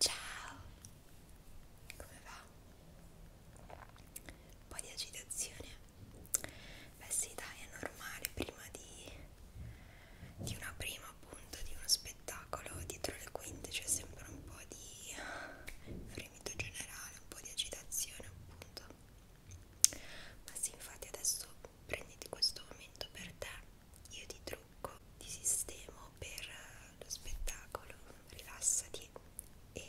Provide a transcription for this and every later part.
Ciao! Come va? Un po' di agitazione? Beh sì dai, è normale prima di, di una prima appunto, di uno spettacolo dietro le quinte c'è sempre un po' di fremito generale, un po' di agitazione appunto. Ma sì, infatti adesso prenditi questo momento per te, io ti trovo trucco ti sistemo per eh, lo spettacolo rilassati e,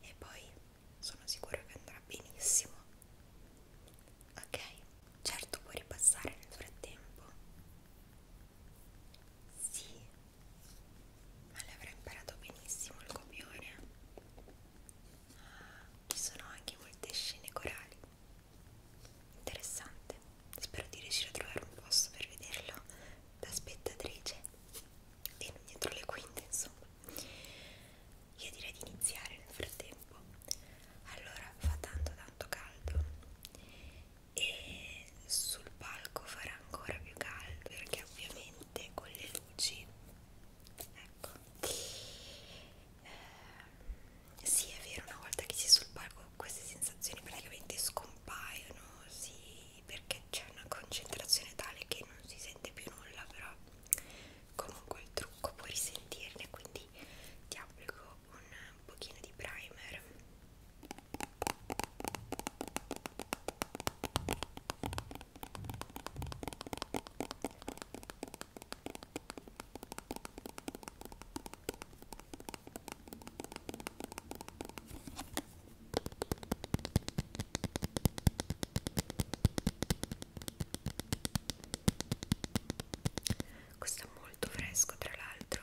e poi sono sicura che andrà benissimo ok certo puoi ripassare nel frattempo sì ma l'avrà imparato benissimo il copione ah, ci sono anche molte scene corali interessante spero di riuscire a trovare un posto per vederlo da spettatrice e non dietro le quinte insomma io direi di iniziare nel frattempo allora fa tanto tanto caldo e sul palco farà ancora più caldo perché ovviamente con le luci ecco eh, sì è vero una volta che si è sul palco queste sensazioni praticamente scompaiono sì, perché c'è una concentrazione tale che non si sente più nulla però comunque il trucco puoi risentirne quindi ti applico un pochino di primer questo è molto fresco tra l'altro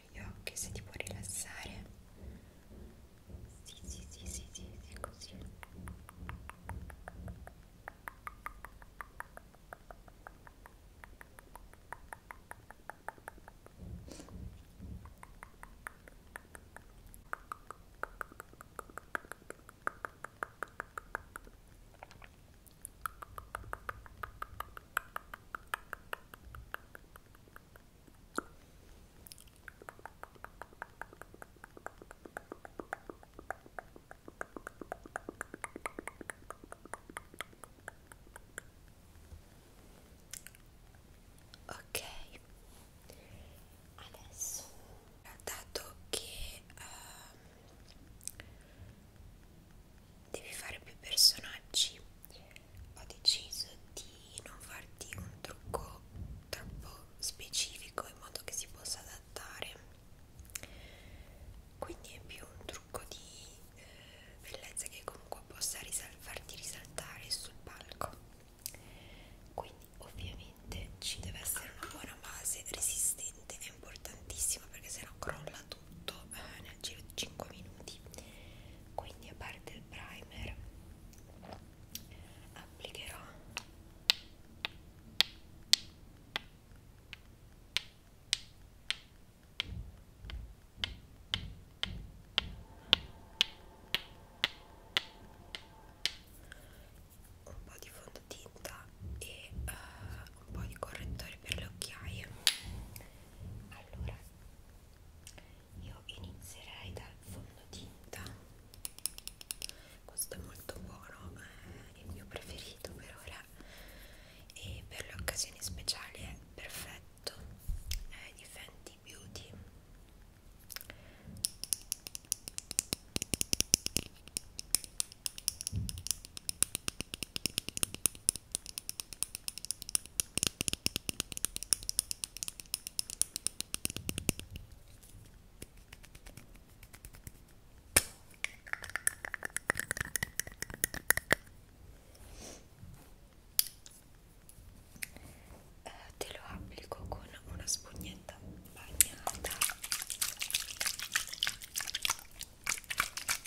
chiudere gli occhi se ti può rilassare sì sì sì sì sì, sì così Ecco, Ok, adesso dato che uh, devi fare più personaggi ho deciso di non farti un trucco troppo specifico in modo che si possa adattare quindi è più un trucco di eh, bellezza che comunque possa risal farti risaltare sul palco quindi ovviamente ci deve essere una buona base resistente è importantissima perché sennò crolla tutto eh, nel nel giro di 5 minuti quindi a parte il primer applicherò un po' di fondotinta e uh, un po' di correttore per le occhiaie allora io inizierei dal fondotinta questo è molto buono è il mio preferito per ora e per le occasioni speciali è perfetto è di Fenty Beauty eh, te lo applico con una spugnetta bagnata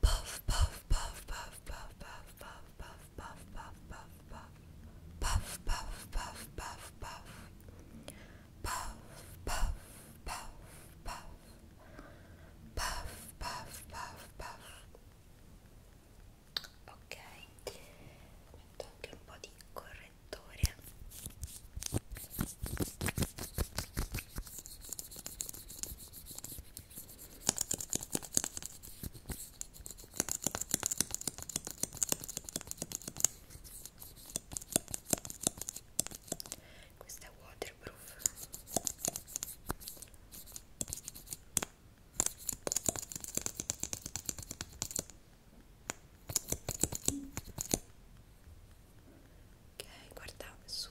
Puff, puff, puff, puff, puff, puff, puff, puff, puff, puff, puff, puff. Puff, puff, puff, puff, puff. Puff, puff, puff, puff. Puff, puff, puff, puff. Ok, metto anche un po' di correttore. Questa è waterproof. Ok, guarda su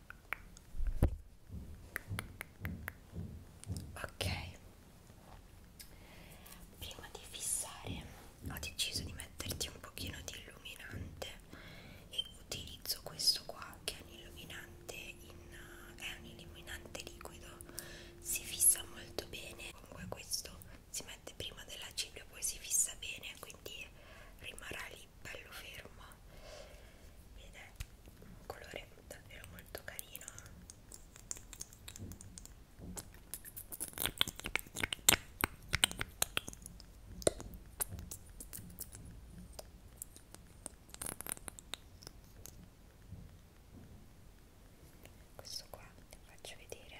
ok prima di fissare ho deciso di metterti un pochino di illuminante e utilizzo questo qua che è un illuminante in, è un illuminante liquido si fissa molto bene comunque questo si mette prima della cipria poi si fissa bene quindi rimarrà lì poi bello fermo ed è un colore davvero molto carino questo qua vi faccio vedere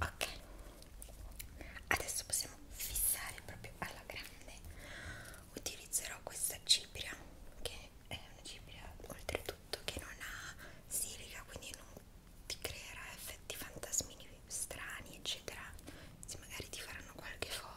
Ok, adesso possiamo fissare proprio alla grande. Utilizzerò questa cipria che è una cipria oltre soprattutto che non ha silica quindi non ti creerà effetti fantasmini strani eccetera se magari ti faranno qualche foto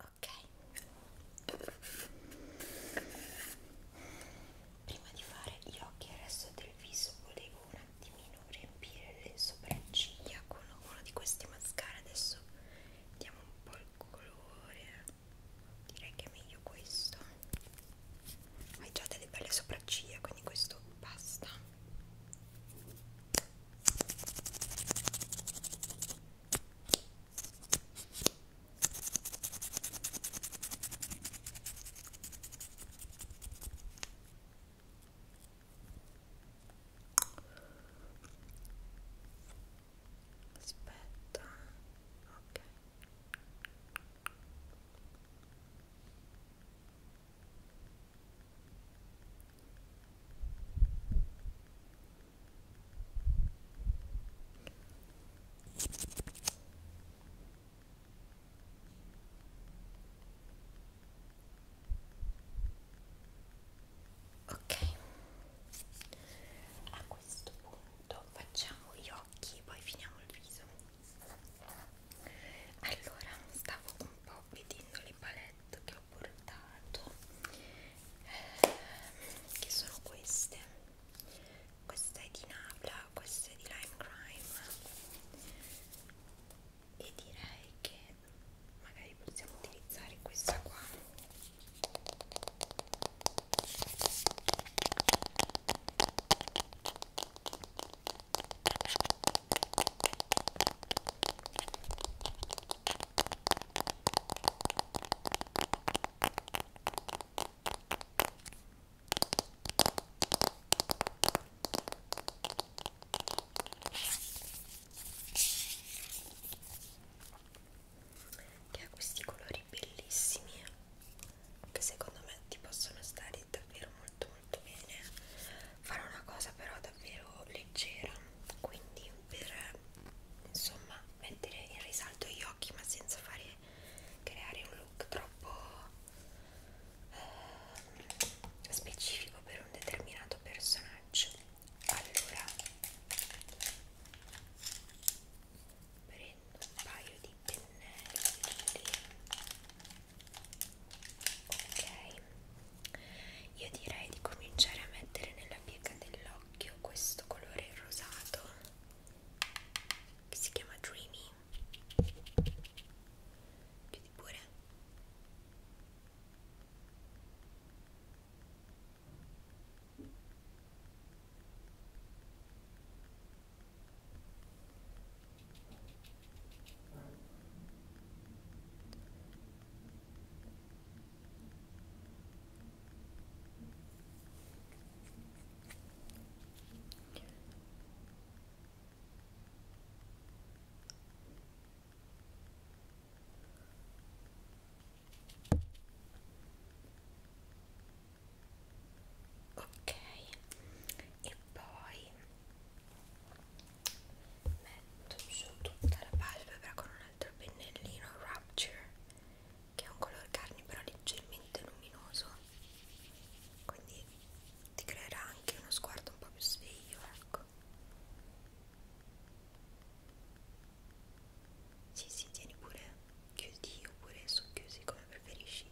Ok, prima di fare gli occhi e il resto del viso volevo una Dimmi, riempire le sopracciglia con uno di questi mascara. Adesso diamo un po' il colore. Direi che è meglio questo. Hai già delle belle sopracciglia, quindi questo basta aspetta ok ok ok a questo punto facciamo gli occhi poi finiamo il viso allora stavo un po' vedendo le palette che ho portato ehm, che sono queste questa è di Nabla questa è di Lime Crime e direi che magari possiamo utilizzare questa qua che ha questi colori bellissimi eh. che secondo me ti possono stare davvero molto molto bene farò una cosa però davvero leggera quindi per insomma mettere in risalto gli occhi ma senza fare creare un look troppo eh, specifico per un determinato personaggio allora prendo un paio di pennelli ok io direi di cominciare a mettere nella piega dell'occhio questo colore rosato che si chiama Dreamy chiudi pure ok e poi metto su tutta la palpebra con un altro pennellino Rapture che è un color carne però leggermente luminoso quindi ti creerà anche uno sguardo un po' più sveglio, ecco. Sì, sì, tieni pure chiusi oppure socchiusi come preferisci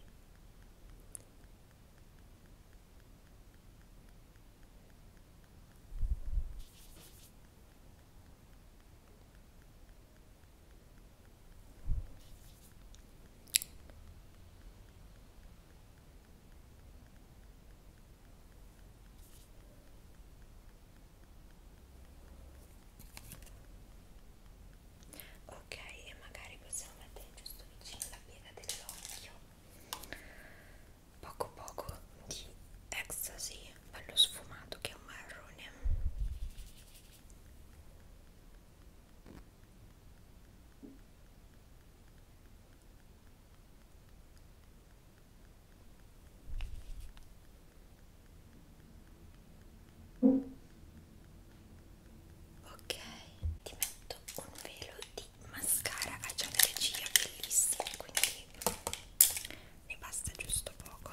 ok e magari possiamo mettere giusto vicino la piega dell'occhio poco poco di ecstasy bello sfumato che è un marrone Ok, ti metto un velo di mascara a già regia bellissima, quindi ne basta giusto poco.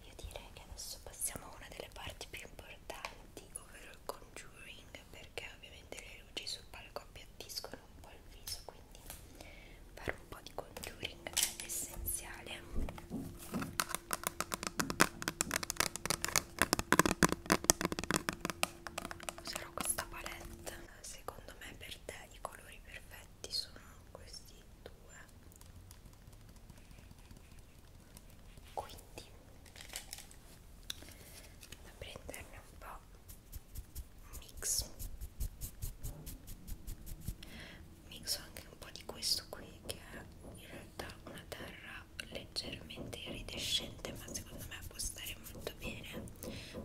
Io direi che adesso passiamo a una delle parti più importanti, ovvero il conjuring, perché ovviamente le luci sul palco appiattiscono un po' il viso, quindi fare un po' di conjuring è essenziale userò questa palette secondo me per te i colori perfetti sono questi due quindi da prenderne un po' mix mixo anche un po' di questo qui che è in realtà una terra leggermente iridescente ma secondo me può stare molto bene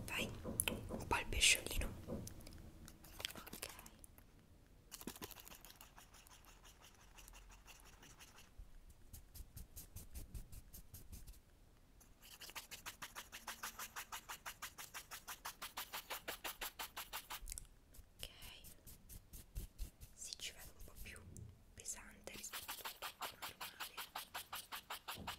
vai un po' il pesciolino ok ok si ci vede un po' più pesante rispetto al normale ok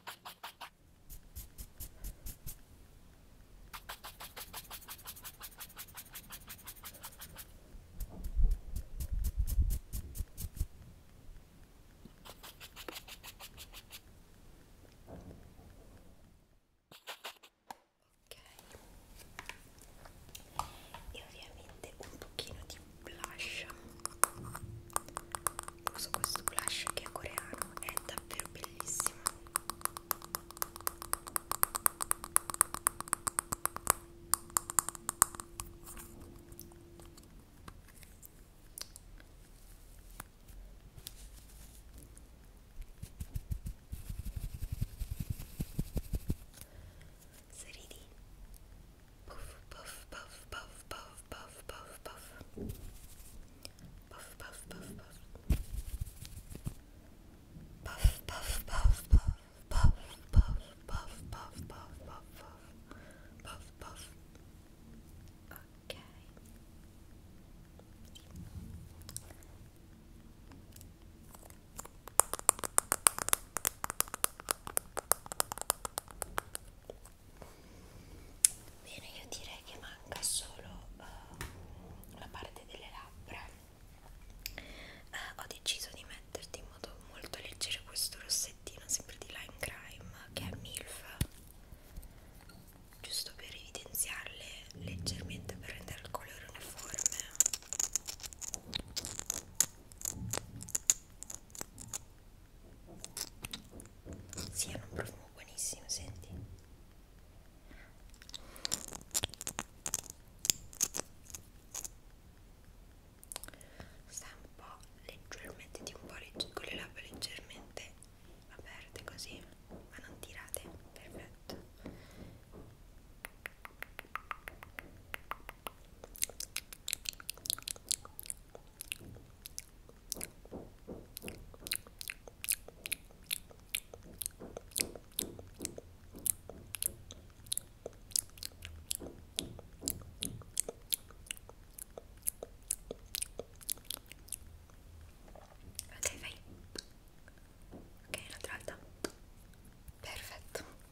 e ovviamente un pochino di blush uso questo blush che è coreano è davvero bellissimo 3D. Puff, puff, puff, puff, puff, puff, puff, puff. Puff, puff, puff, puff. Puff, puff, puff, puff, puff, puff, puff, puff, puff, puff, puff, puff, puff. Okay. Bene, io direi che manca solo uh, la parte delle labbra. Uh, ho deciso di metterti in modo molto leggero questo rossettino, sempre di Lime Crime, che è MILF, giusto per evidenziarle leggermente per rendere il colore uniforme. Sì, hanno un profumo buonissimo, senti. Sta un po' leggermente, tipo un po' con le labbra leggermente aperte così, ma non tirate, perfetto. Ok, vai. Ok, un'altra volta. Perfetto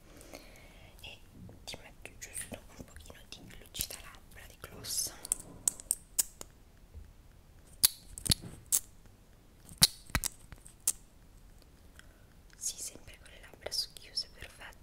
e ti metto giusto un pochino di lucida labbra di gloss sì, sempre con le labbra socchiuse, perfetto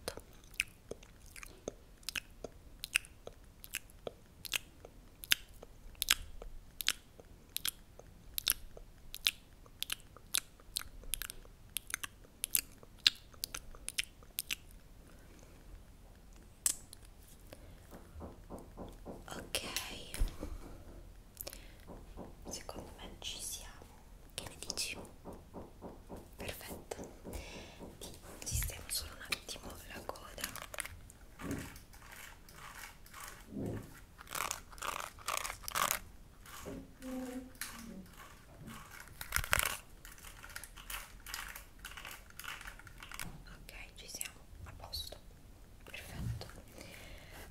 Ok, secondo me ci siamo. Che ne dici? Perfetto. Sistemo solo un attimo la coda. Ok. Ok, ci siamo, a posto, perfetto.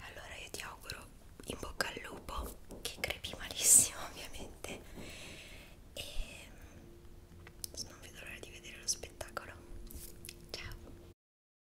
Allora io ti auguro in bocca al lupo, che crepi malissimo ovviamente, e mm, non vedo l'ora di vedere lo spettacolo. Ciao!